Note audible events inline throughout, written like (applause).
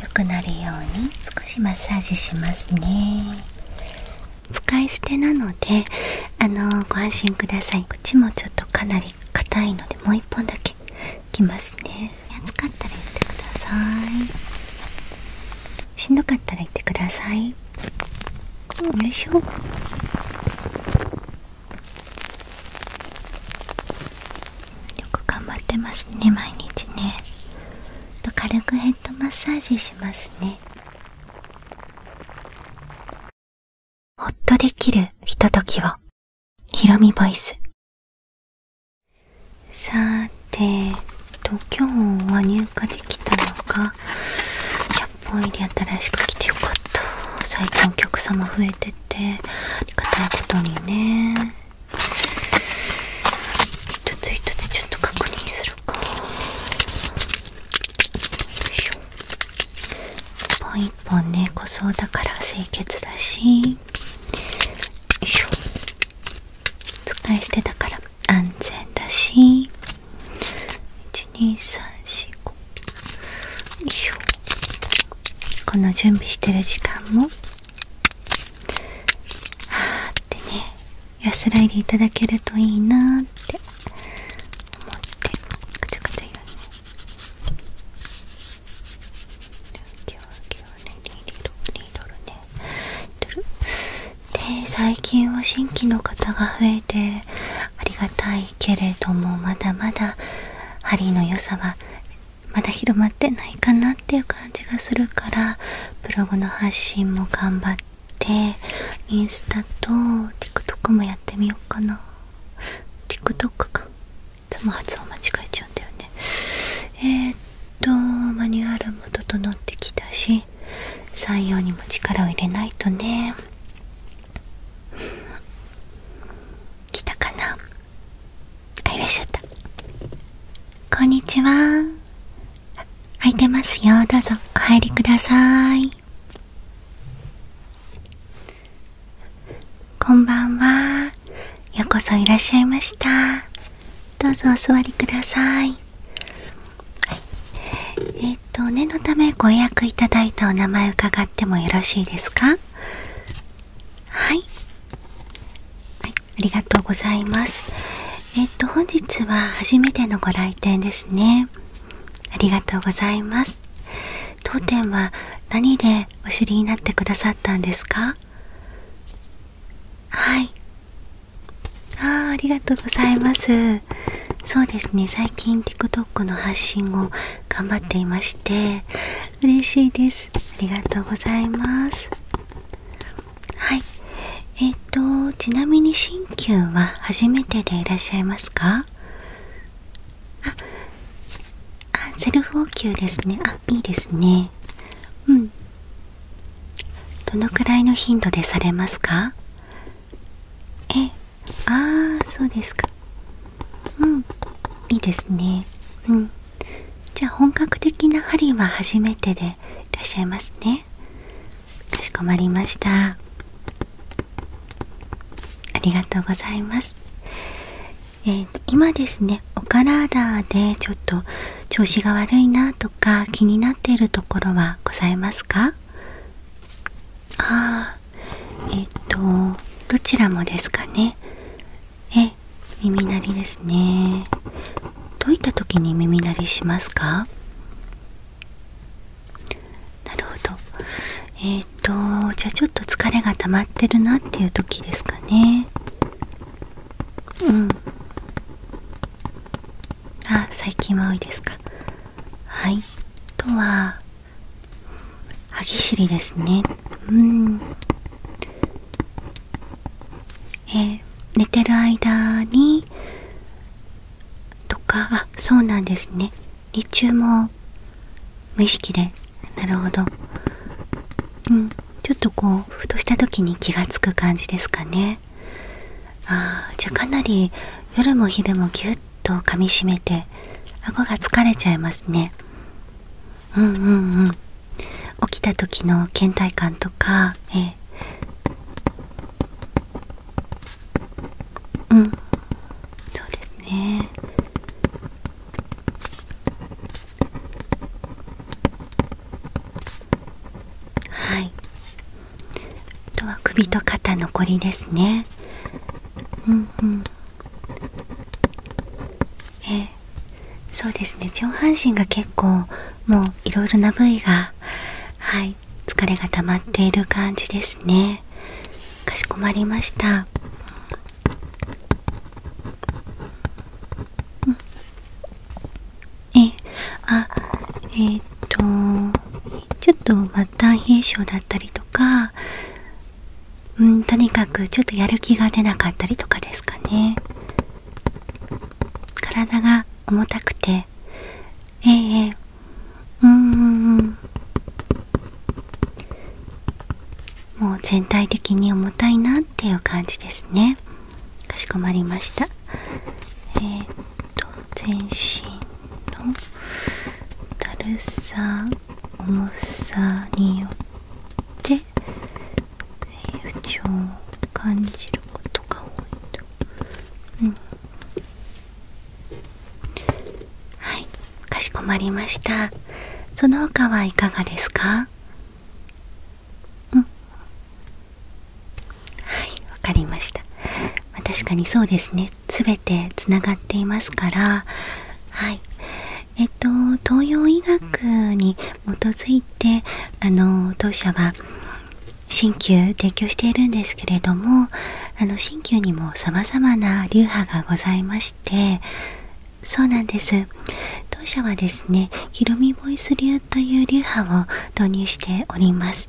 良くなるように少しマッサージしますね使い捨てなのであのご安心ください口もちょっとかなり硬いのでもう一本だけいきますね暑かったら言ってくださいしんどかったら言ってくださいよいしょよく頑張ってますね毎日ねと軽くヘッドマッサージしますねほっとできるひとときをひろみボイスさてと今日は入荷できたのが100本入り新しく来てよかった最近お客様増えててありがたいことにね一つ一つちょっと確認するかよいしょ一本一本ね濃そうだから清潔だしよいしょ使い捨てだから安全だし12345この準備してる時間もあーってね安らいでいただけるといいなって思ってぐちゃぐちゃ。言わね今日ねで最近は新規の方が増えてありがたいけれどもまだまだ針の良さはまだ広まってないかなっていう感じがするからブログの発信も頑張ってインスタと TikTok もやってみようかな TikTok かいつも発音間違えちゃうんだよねえっとマニュアルも整ってきたし採用にも力を入れないとね来たかないらっしゃったこんにちは空いてますよどうぞお入りくださいこんばんはようこそいらっしゃいましたどうぞお座りくださいえっと念のためご予約いただいたお名前伺ってもよろしいですかはい、ありがとうございますえっと本日は初めてのご来店ですねありがとうございます当店は何でお知りになってくださったんですかはいあーありがとうございますそうですね最近 TikTok の発信を頑張っていまして嬉しいですありがとうございますはいえっ、とちなみに新旧は初めてでいらっしゃいますかあセルフ応急ですねあいいですねうんどのくらいの頻度でされますかえああそうですかうんいいですねうんじゃあ本格的な針は初めてでいらっしゃいますねかしこまりましたありがとうございます、えー、今ですねお体でちょっと調子が悪いなとか気になっているところはございますかえっ、とどちらもですかねえ耳鳴りですねどういった時に耳鳴りしますかなるほどえっ、とじゃあちょっと疲れが溜まってるなっていう時ですかねうんあ最近は多いですかはいとは歯ぎしりですねうんえ寝てる間にとかあそうなんですね日中も無意識でなるほどうんちょっとこうふとした時に気が付く感じですかねあじゃあかなり夜も昼もぎゅっと噛みしめて顎が疲れちゃいますねうんうんうん起きた時の倦怠感とかえー、うんそうですねはいあとは首と肩残りですねうんうんえそうですね上半身が結構もういろいろな部位がはい疲れが溜まっている感じですねかしこまりました、うえあえっとちょっと末端冷えだったりとかうんとにかくちょっとやる気が出なかったりとかですかね体が重たくてええうんもう全体的に重たいなっていう感じですねかしこまりましたえっと全身のだるさ重さによって不調を感じることが多いと、うん、はいかしこまりましたその他はいかがですかうんはいわかりました、まあ、確かにそうですね全てつがっていますからはいえっと東洋医学に基づいてあの当社は鍼灸提供しているんですけれども鍼灸にもさまな流派がございましてそうなんです当社はですねひろみボイス流という流派を導入しております、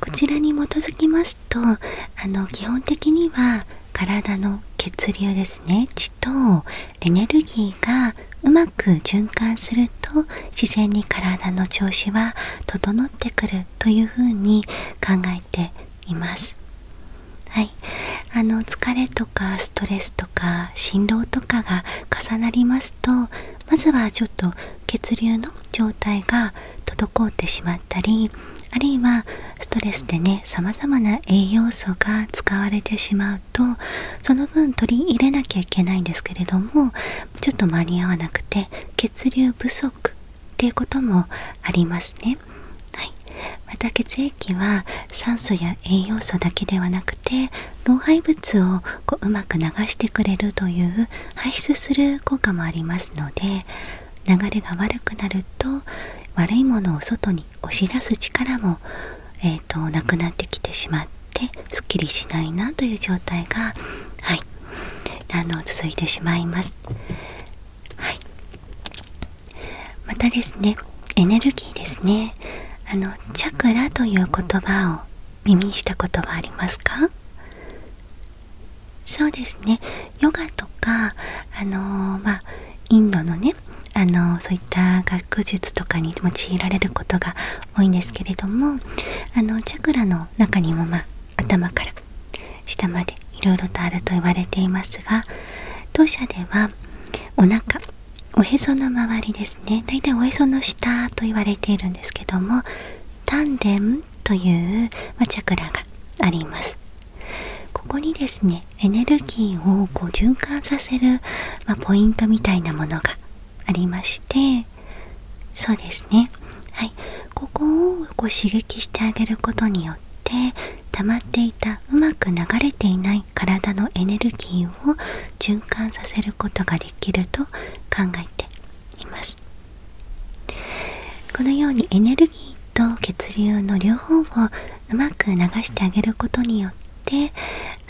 こちらに基づきますとあの基本的には体の血流ですね血とエネルギーがうまく循環すると自然に体の調子は整ってくるというふうに考えています。はい、あの疲れとかストレスとか心労とかが重なりますとまずはちょっと血流の状態が滞ってたりあるいはストレスでねさまざまな栄養素が使われてしまうとその分取り入れなきゃいけないんですけれどもちょっと間に合わなくて血流不足っていうこともありますね。はい、また血液は酸素や栄養素だけではなくて老廃物をこううまく流してくれるという排出する効果もありますので流れが悪くなると悪いものを外に押し出す力も、えー、となくなってきてしまってすっきりしないなという状態が、はい、あの続いてしまいます。またですねエネルギーですねあのチャクラという言葉を耳にしたことはありますかそうですねヨガとかあのまあインドのねあのそういった学術とかに用いられることが多いんですけれどもあのチャクラの中にもまあ頭から下までいろいろとあると言われていますが当社ではお腹おへその周りですねだいたいおへその下と言われているんですけども丹田という、まチャクラがありますここにですねエネルギーをこう循環させる、まポイントみたいなものがありましてそうですねはいここをこう刺激してあげることによって溜まっていたうまく流れていない体のエネルギーを循環させることができると考えていますこのようにエネルギーと血流の両方をうまく流してあげることによって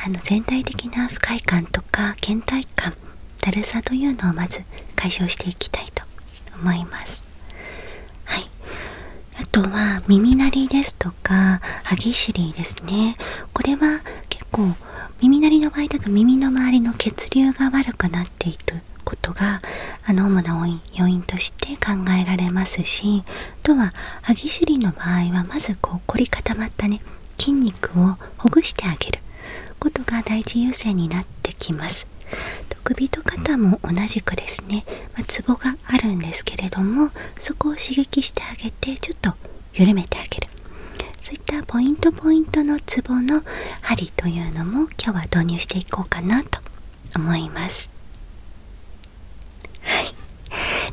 あの全体的な不快感とか倦怠感だるさというのをまず解消していきたいと思います。はい、あとは耳鳴りですとか歯ぎしりですねこれは結構耳鳴りの場合だと耳の周りの血流が悪くななっていることがあの主な要因として考えられますしあとは歯ぎしりの場合はまずこう凝り固まったね筋肉をほぐしてあげることが第一優先になってきます首と肩も同じくですねツボ、があるんですけれどもそこを刺激してあげてちょっと緩めてあげるそういったポイントポイントのツボの針というのも今日は導入していこうかなと思いますはい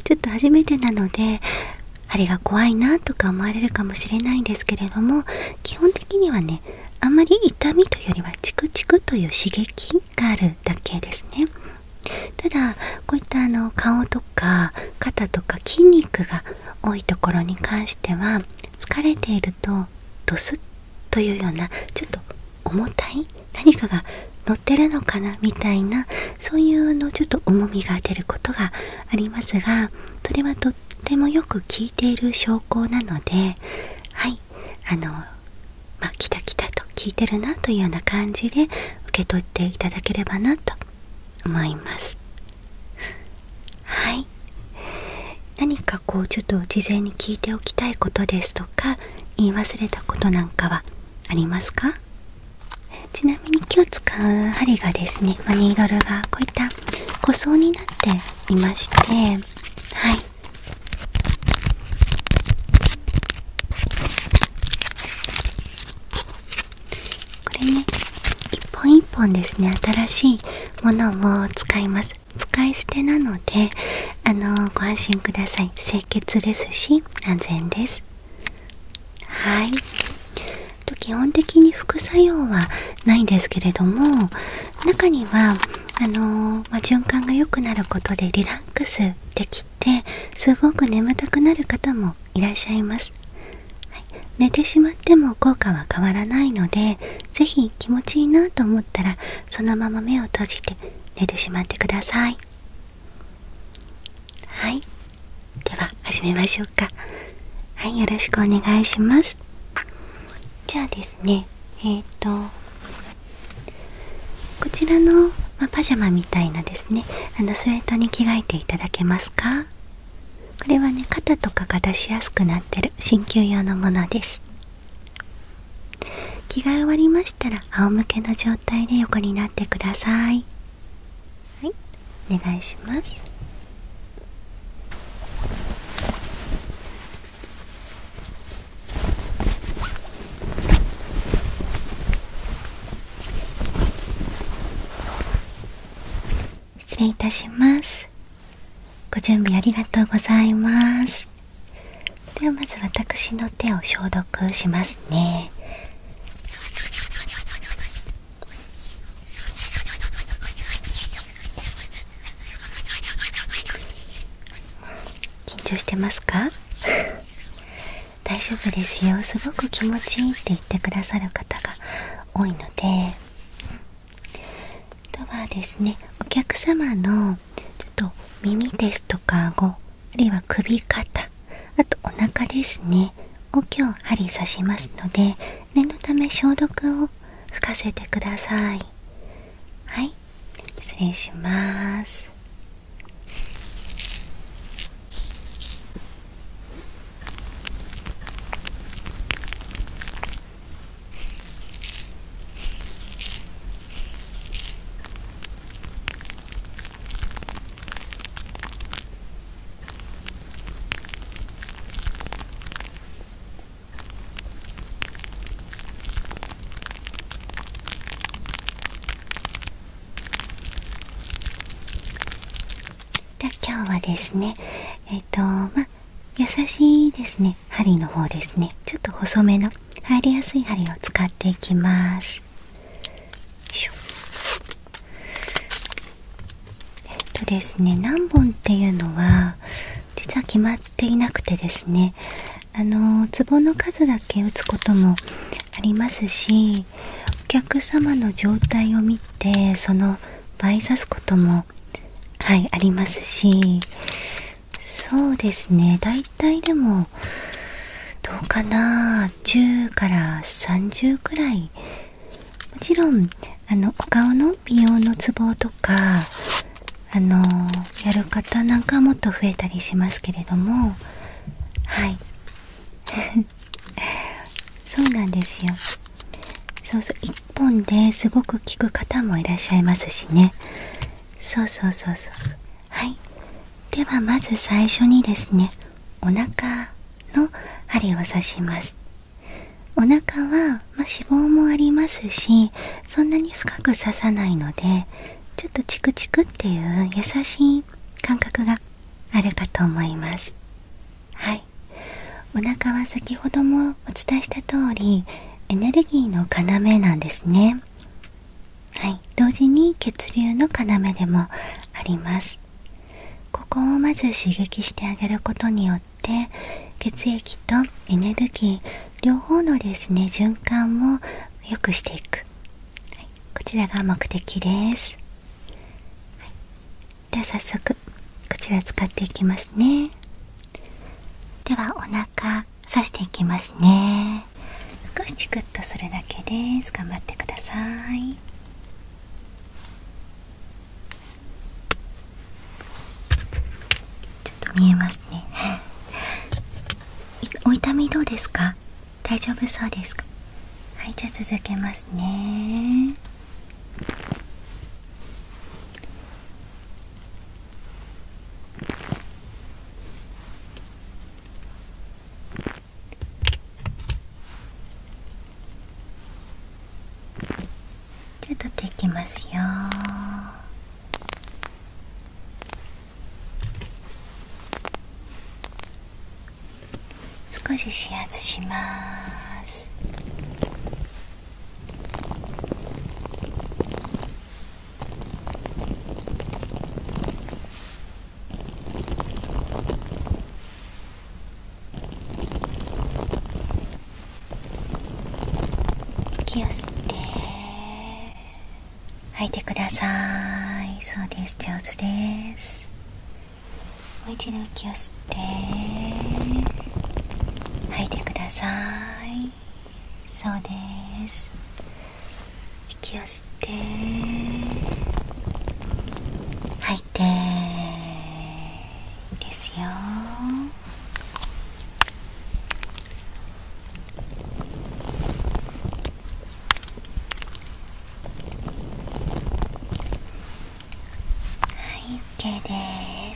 ちょっと初めてなのであれが怖いなとか思われるかもしれないんですけれども基本的にはねあんまり痛みというよりはチクチクという刺激があるだけですねただこういったあの顔とか肩とか筋肉が多いところに関しては疲れているとドスッというようなちょっと重たい何かが乗ってるのかなみたいなそういうのちょっと重みが出ることがありますがそれはとってもよく効いている証拠なのではいあのまあきたきたと効いてるなというような感じで受け取っていただければなと思います。は何かこうちょっと事前に聞いておきたいことですとか言い忘れたことなんかはありますかちなみに今日使う針がですね、まニードルがこういった個装になっていましてはいこれね一本一本ですね新しいものを使います使い捨てなのであのご安心ください清潔ですし安全ですはいと基本的に副作用はないんですけれども中にはあのま循環が良くなることでリラックスできてすごく眠たくなる方もいらっしゃいます、寝てしまっても効果は変わらないので是非気持ちいいなとたらそのまま目を閉じて寝てしまってくださいはいでは始めましょうかはいよろしくお願いしますじゃあですねえっ、とこちらの、まパジャマみたいなですねあのスウェットに着替えていただけますかこれはね肩とかが出しやすくなってる鍼灸用のものです着替え終わりましたら仰向けの状態で横になってくださいはいお願いします失礼いたしますご準備ありがとうございますではまず私の手を消毒しますね緊張してますか (laughs) 大丈夫ですよすごく気持ちいいって言ってくださる方が多いのであとはですねお客様のちょっと耳ですとか顎あるいは首肩あとお腹ですねを今日針刺しますので念のため消毒を吹かせてくださいはい失礼しますで今日はですねえっ、とまあ優しいですね針の方ですねちょっと細めの入りやすい針を使っていきますとですね何本っていうのは実は決まっていなくてですねあのツボの数だけ打つこともありますしお客様の状態を見てその倍刺すこともはいありますしそうですね大体でもどうかな10から30くらいもちろんあのお顔の美容のツボとかあのやる方なんかはもっと増えたりしますけれどもはい (laughs) そうなんですよそうそう1本ですごく効く方もいらっしゃいますしねそうそうそうそうはいではまず最初にですねお腹の針を刺しますお腹は、ま脂肪もありますしそんなに深く刺さないのでちょっとチクチクっていう優しい感覚があるかと思いますはいお腹は先ほどもお伝えした通りエネルギーの要なんですねはい同時に血流の要でもありますここをまず刺激してあげることによって血液とエネルギー両方のですね循環を良くしていく、こちらが目的です、では早速こちら使っていきますねではお腹刺していきますね少しチクッとするだけです頑張ってくださいちょっと見えますね (laughs) お痛みどうですか大丈夫そうですかはいじゃあ続けますね手取っていきますよ少し指圧します息を吸って吐いてくださいそうです上手ですもう一度息を吸って吐いてくださいそうです息を吸って吐いてですよはい OK です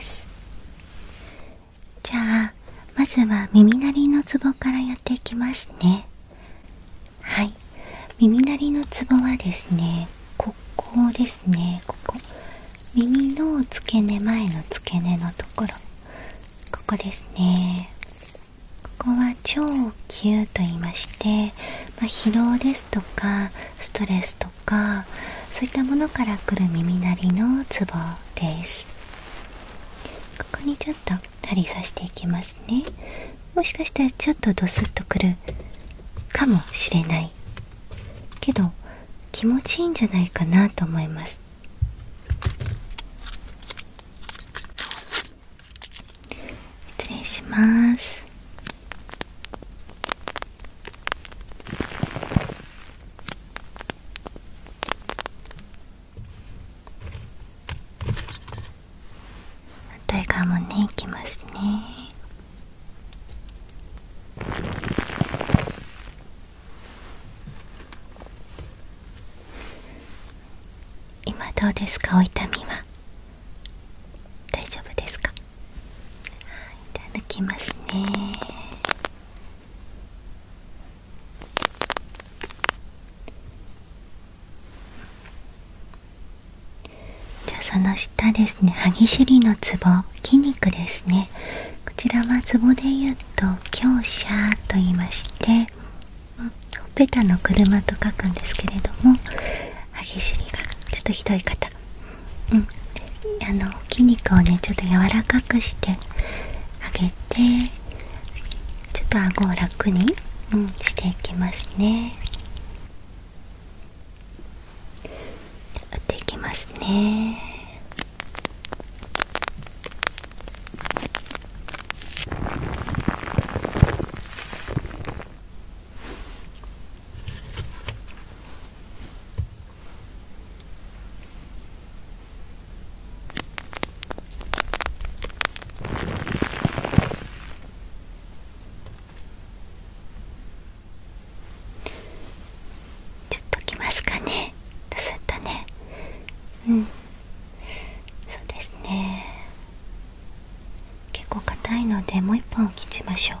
じゃあまずは耳鳴りのツボからやっていきますねはい耳鳴りのツボはですねここですねここ耳の付け根前の付け根のところここですねここは超級と言いまして、ま疲労ですとかストレスとかそういったものからくる耳鳴りのツボですここにちょっと針刺していきますねもしかしたらちょっとドスッとくるかもしれないけど気持ちいいんじゃないかなと思います失礼します反対側もねいきますね今どうですかお痛みは大丈夫ですかいただきますねじゃあその下ですね歯ぎしりのツボ筋肉ですねこちらはツボでいうと強者と言いましてほっぺたの車と書くんですけれども歯ぎしりがちょっとひどい方うんあの筋肉をねちょっと柔らかくしてあげてちょっと顎を楽に、うん、していきますね打っていきますねちょっときますかねたそうですね結構硬いのでもう一本切っちましょう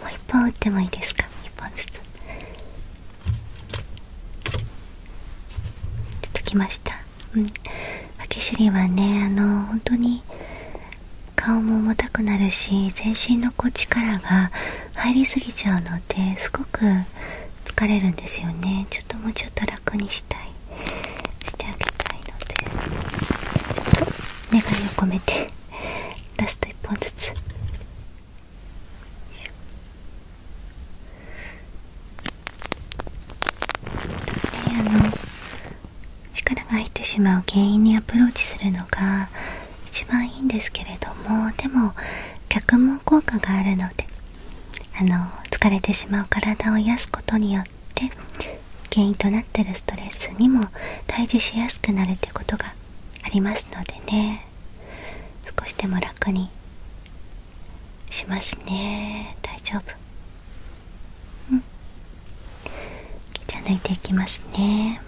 もう一本打ってもいいですか一本ずつちょっと来ましたうんあけしりはねあの本当に顔も重たくなるし全身のこう力が入りすぎちゃうのですごく疲れるんですよねちょっともうちょっと楽にしたいしてあげたいのでちょっと願いを込めてラスト1本ずつであの力が入ってしまう原因にアプローチするのが一番いいんですけれどもでも逆も効果があるのであの疲れてしまう体を癒やすことによって、っ原因となってるストレスにも対峙しやすくなるってことがありますのでね少しでも楽にしますね大丈夫うんじゃあ抜いていきますね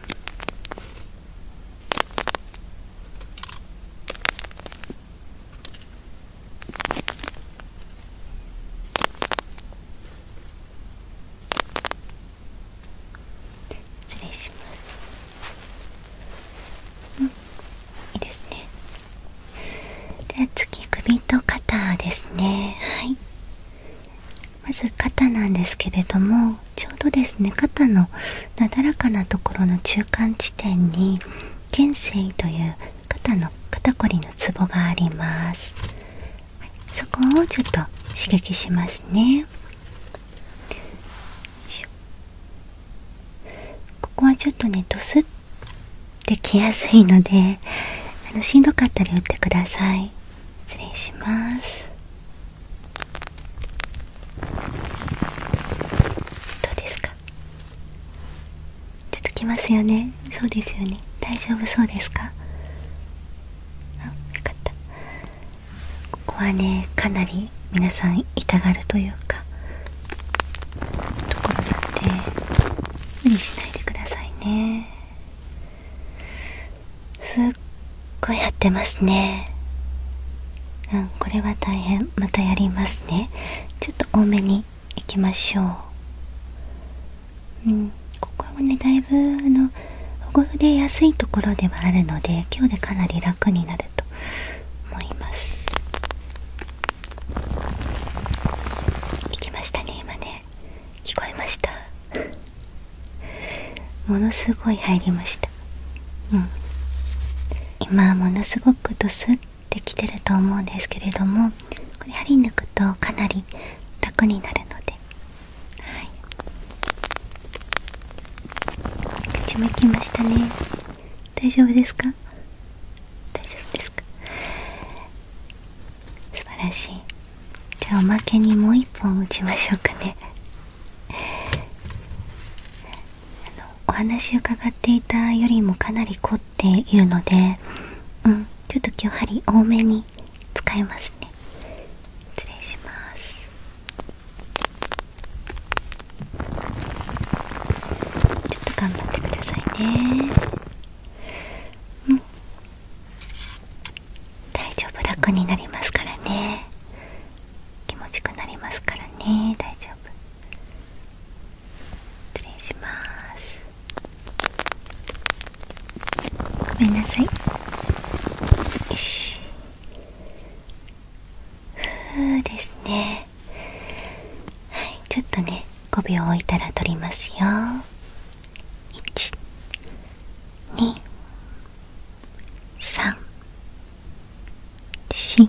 失礼しますいいですねで次首と肩ですねはいまず肩なんですけれどもちょうどですね肩のなだらかなところの中間地点に肩椎という肩の肩こりのツボがありますそこをちょっと刺激しますねここはちょっとねどす。ってきやすいのであのしんどかったら打ってください失礼しますどうですかちきますよねそうですよね大丈夫そうですかあよかったここはねかなり皆さん痛がるというかところなんで無理しないでくださいねすっごいやってますねうんこれは大変またやりますねちょっと多めにいきましょううん、ここもねだいぶあの保護で安いところではあるので今日でかなり楽になると思います行きましたね今ね聞こえましたものすごい入りましたうん今ものすごくドスってきてると思うんですけれどもこれ針抜くとかなり楽になるので、はい、口もきましたね大丈夫ですか大丈夫ですか素晴らしいじゃあおまけにもう1本打ちましょうかねあのお話伺っていたよりもかなり凝っているのでうんちょっと今日針多めに使いますね失礼しますちょっと頑張ってくださいね大丈夫楽になりますからね気持ちくなりますからね大丈夫失礼しますごめんなさいよしふうですねはいちょっとね5秒置いたら取りますよ12345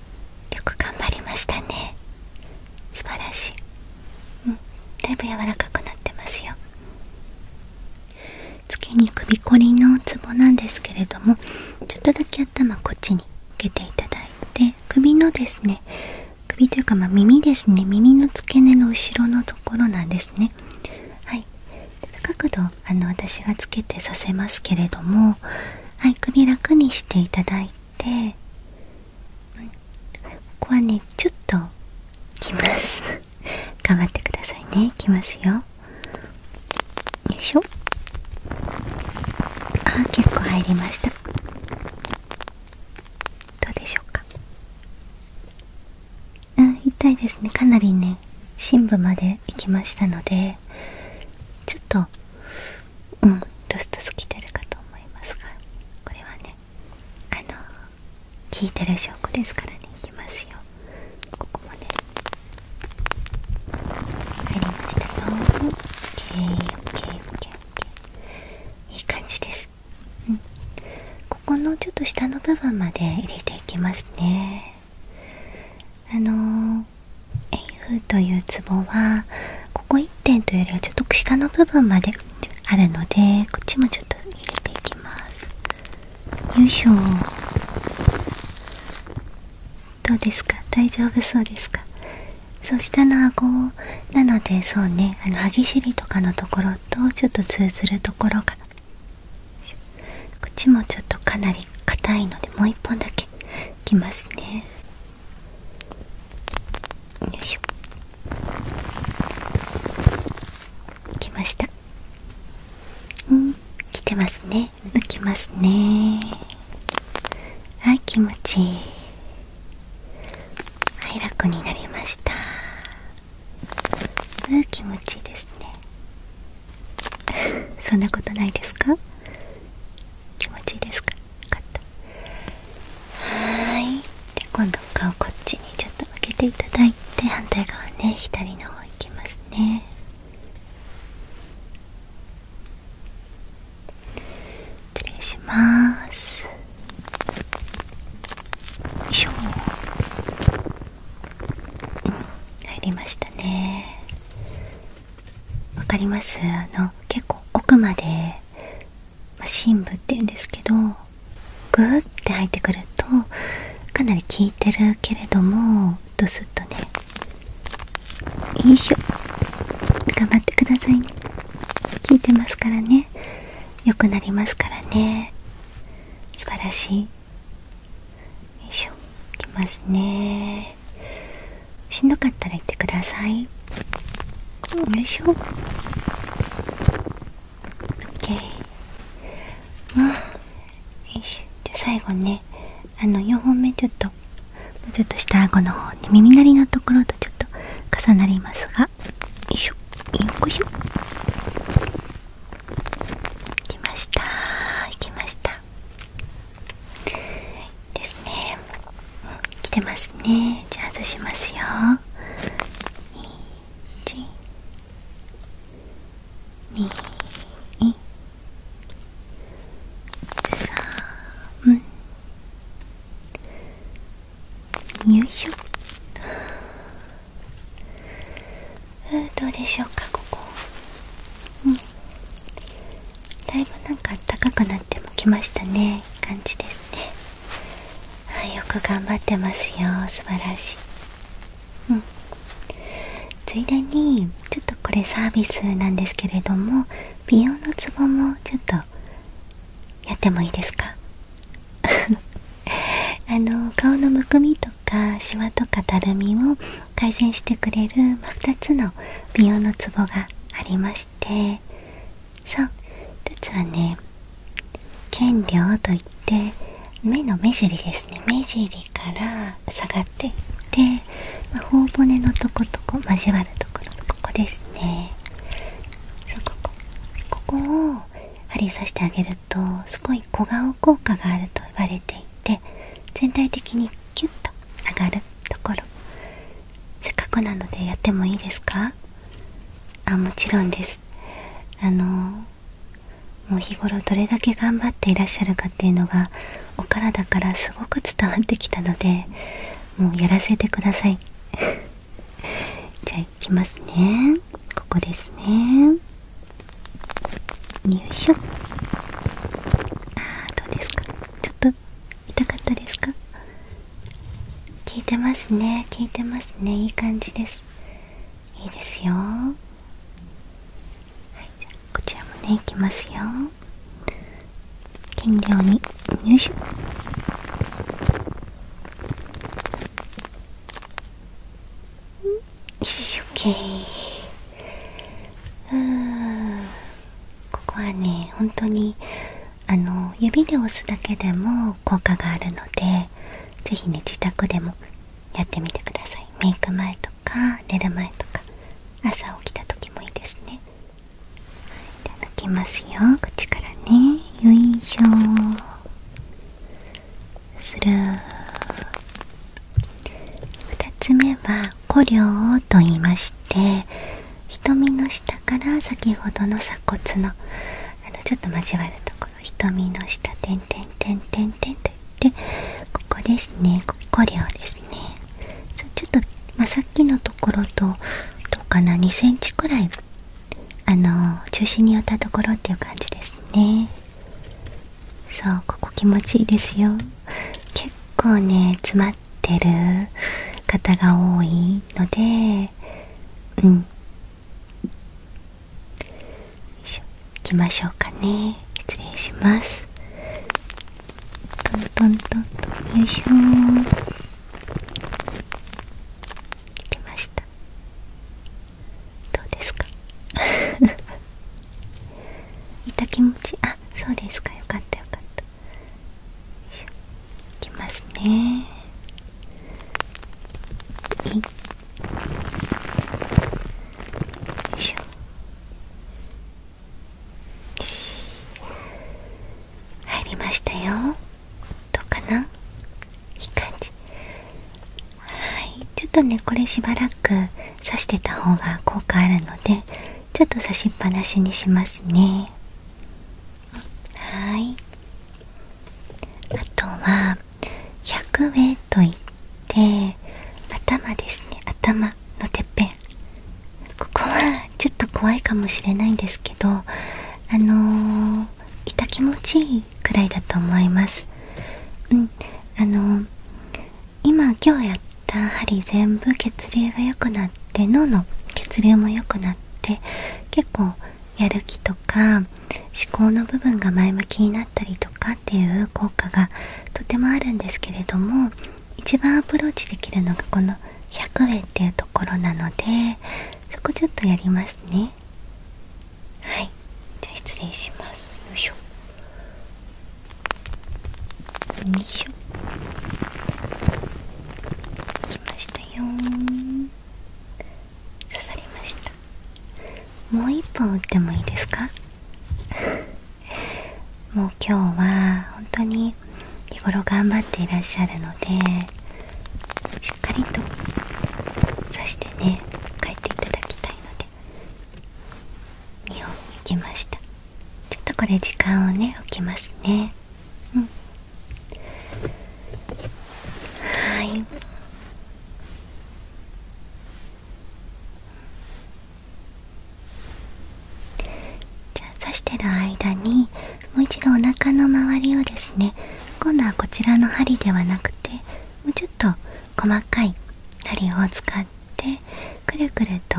よく頑張りましたね素晴らしいうんだいぶ柔らかくなってますよ次に首こりのツボなんですけれどもちょっとだけ頭こっちに受けていただいて首のですね首というかま耳ですね耳の付け根の後ろのところなんですねはい角度あの私がつけてさせますけれどもはい首楽にしていただいてここはねちょっときます (laughs) 頑張ってくださいねきますよよいしょあ結構入りましたどうでしょうかうん痛いですねかなりね深部まで行きましたのでちょっとうんロストす。きてるかと思いますがこれはねあの聞いてる証拠ですからねいきますよここもねありましたよ OKOKOKOK いい感じです、うん、ここのちょっと下の部分まで入れていきますねあのエイフというツボはここ1点というよりはちょっと下の部分まであるのでこっちもちょっと入れていきますよいしょどうですか大丈夫そうですかそう下の顎なのでそうねあの歯ぎしりとかのところとちょっと通ずるところがこっちもちょっとかなり硬いのでもう1本だけいきますねよいしょ来ましたうん来てますね抜きますねはい気持ちいいはい楽になりましたうん気持ちいいですね (laughs) そんなことないですか気持ちいいですかはいで今度顔こっちにちょっと向けていただいて反対側ね左の方いきますね失礼しますよいしょうん入りましたね分かりますあの結構奥まで、ま深部っていうんですけどグーって入ってくるとかなり効いてるけれどもドスッとねよいしょ頑張ってくださいね効いてますからね良くなりますからね素晴らしいよいしょいきますねしんどかったら言ってくださいよいしょ OK あよしじゃあ最後ねあの4本目ちょっとちょっと下顎の方ね、耳鳴りのところとちょっと重なりますがよいしょよいしょきましたきましたですね、来てますねじゃあ外しますよ123よいどうでしょうかここ、うん、だいぶなんか暖かくなってきましたね感じですねはいよく頑張ってますよ素晴らしいうんついでにちょっとこれサービスなんですけれども美容のツボもちょっとやってもいいですか (laughs) あの顔のむくみとかシワとかたるみを改善してくれる、ま2つの美容のツボがありまし。しそう一はね剣量といって目の目尻ですね目尻から下がっていって、まあ、頬骨のとことこ交わるところここですねここここを針刺してあげるとすごい小顔効果があると言われていて全体的にキュッと上がるところせっかくなのでやってもいいですかあもちろんですあのもう日頃どれだけ頑張っていらっしゃるかっていうのがお体からすごく伝わってきたのでもうやらせてください (laughs) じゃあいきますねここですねよいしょあどうですか痛かったですか効いてますね効いてますねいい感じですいいですよはいじゃあこちらもねいきますよ減量によいしょよい一生懸命うんここはね本当にあの指で押すだけでも効果があるので是非ね自宅でもやってみてくださいメイク前とか寝る前とか朝起きた時もいいですねいただきますよ口からねよいしょする2つ目は「古陵」と言いまして瞳の下から先ほどの鎖骨のあのちょっと交わるところ瞳の下点々点々点といってここですねここ両ですねちょっと、まさっきのところとどうかな2センチくらいあの中心に寄ったところっていう感じですねそうここ気持ちいいですよ結構ね詰まってる方が多いのでうんいきましょうかね失礼しますトントントントンよいしょーきましたどうですか痛 (laughs) 気持ちあそうですかよかったよかったいきますね入りましたよどうかないい感じはいちょっとねこれしばらく刺してた方が効果あるのでちょっと差しっぱなしにしますねはいあとは百0といって頭ですね頭のてっぺんここはちょっと怖いかもしれないんですけどあのー、痛気持ちいいくらいだと思いますうんあの今今日やった針全部血流が良くなって脳の血流も良くなって結構やる気とか思考の部分が前向きになったりとかっていう効果がとてもあるんですけれども一番アプローチできるのがこの100円っていうところなのでそこちょっとやりますねはいじゃあ失礼しますよいしょよましたよ刺さりましたもう一本打ってもいいですか (laughs) もう今日は本当に日頃頑張っていらっしゃるのでしっかりと刺してね帰っていただきたいので2本いきましたちょっとこれ時間をね置きますねはいじゃあ刺してる間にもう一度お腹の周りをですね今度はこちらの針ではなくてもうちょっと細かい針を使ってでくるくると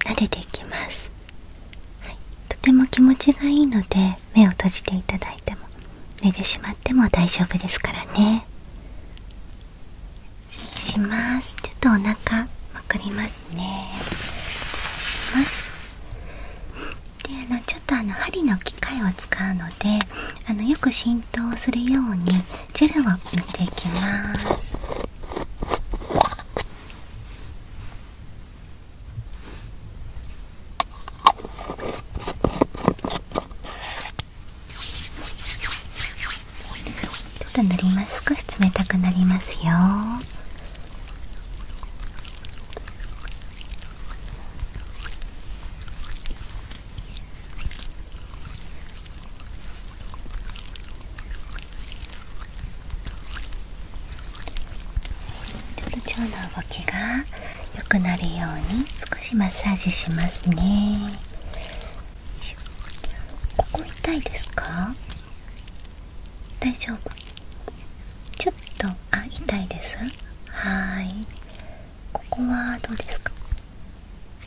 撫でていきます、とても気持ちがいいので目を閉じていただいても寝てしまっても大丈夫ですからね失礼しますちょっとお腹まくりますね失礼しますであのちょっとあの針の機械を使うのであのよく浸透するようにジェルを塗っていきます。ちょっと塗ります少し冷たくなりますよちょっの動きが良くなるように少しマッサージしますねここ痛いですか大丈夫ちょっとあ痛いですはいここはどうですか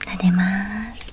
撫でます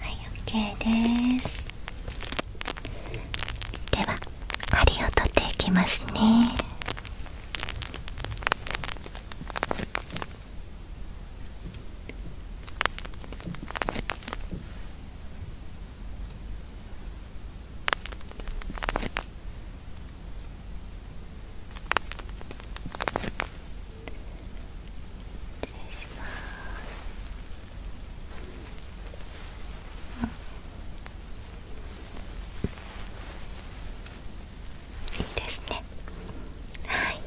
はい、OK ですでは針を取っていきますねいいですねはい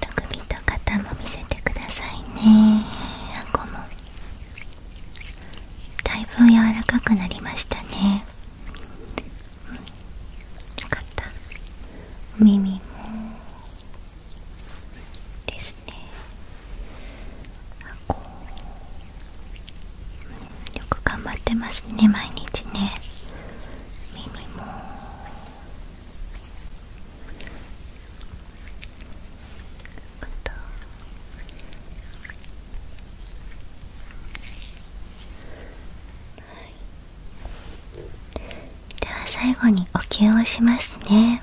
手首と肩も見せてくださいね顎もだいぶ柔らかくなりましたねうんよかった耳もですねう、ん、よく頑張ってますね毎日ね耳も肩では最後に呼吸をしますね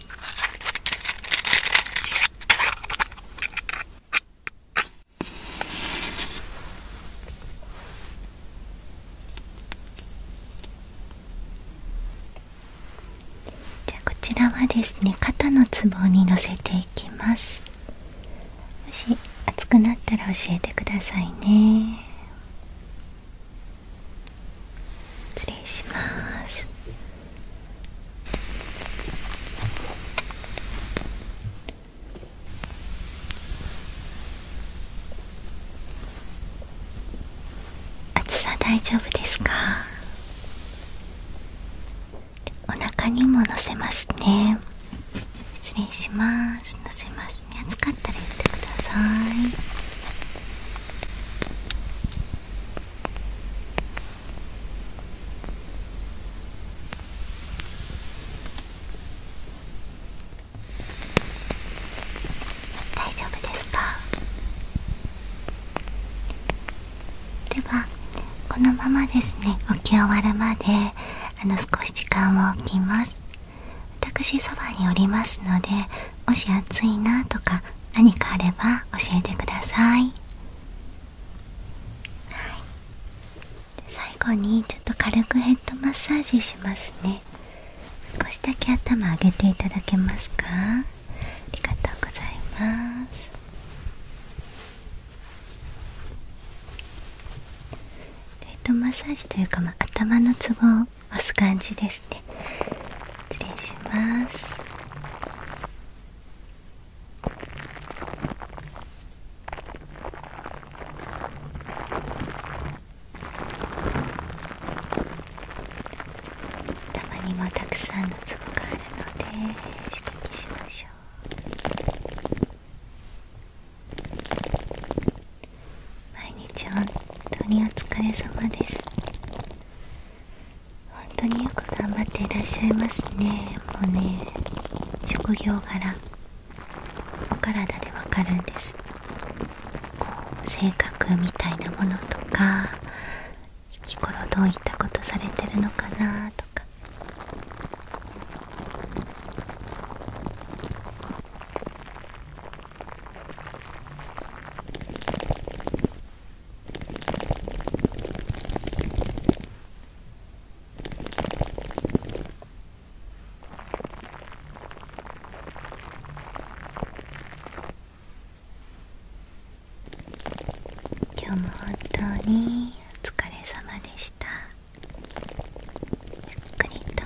じゃこちらはですね肩のつぼにのせていきますもし熱くなったら教えてくださいね失礼します暑さ大丈夫ですかお腹にものせますね失礼しますのせますね暑かったら言ってください大丈夫ですかではこのままですね起き終わるまであの少し時間を置きます私そばにおりますのでもし暑いなとか何かあれば教えてください、最後にちょっと軽くヘッドマッサージしますね少しだけ頭上げていただけますかありがとうございますヘッドマッサージというか、まあ、頭の都合。押す感じですね失礼しますたまにもたくさんのツボがあるので刺激しましょう毎日本当にお疲れ様です本当によく頑張っていらっしゃいますねもうね職業柄お体でわかるんですこう性格みたいなものとか日頃どういったことされてるのかなとか今日も本当にお疲れ様でしたゆっくりと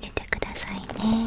寝てくださいね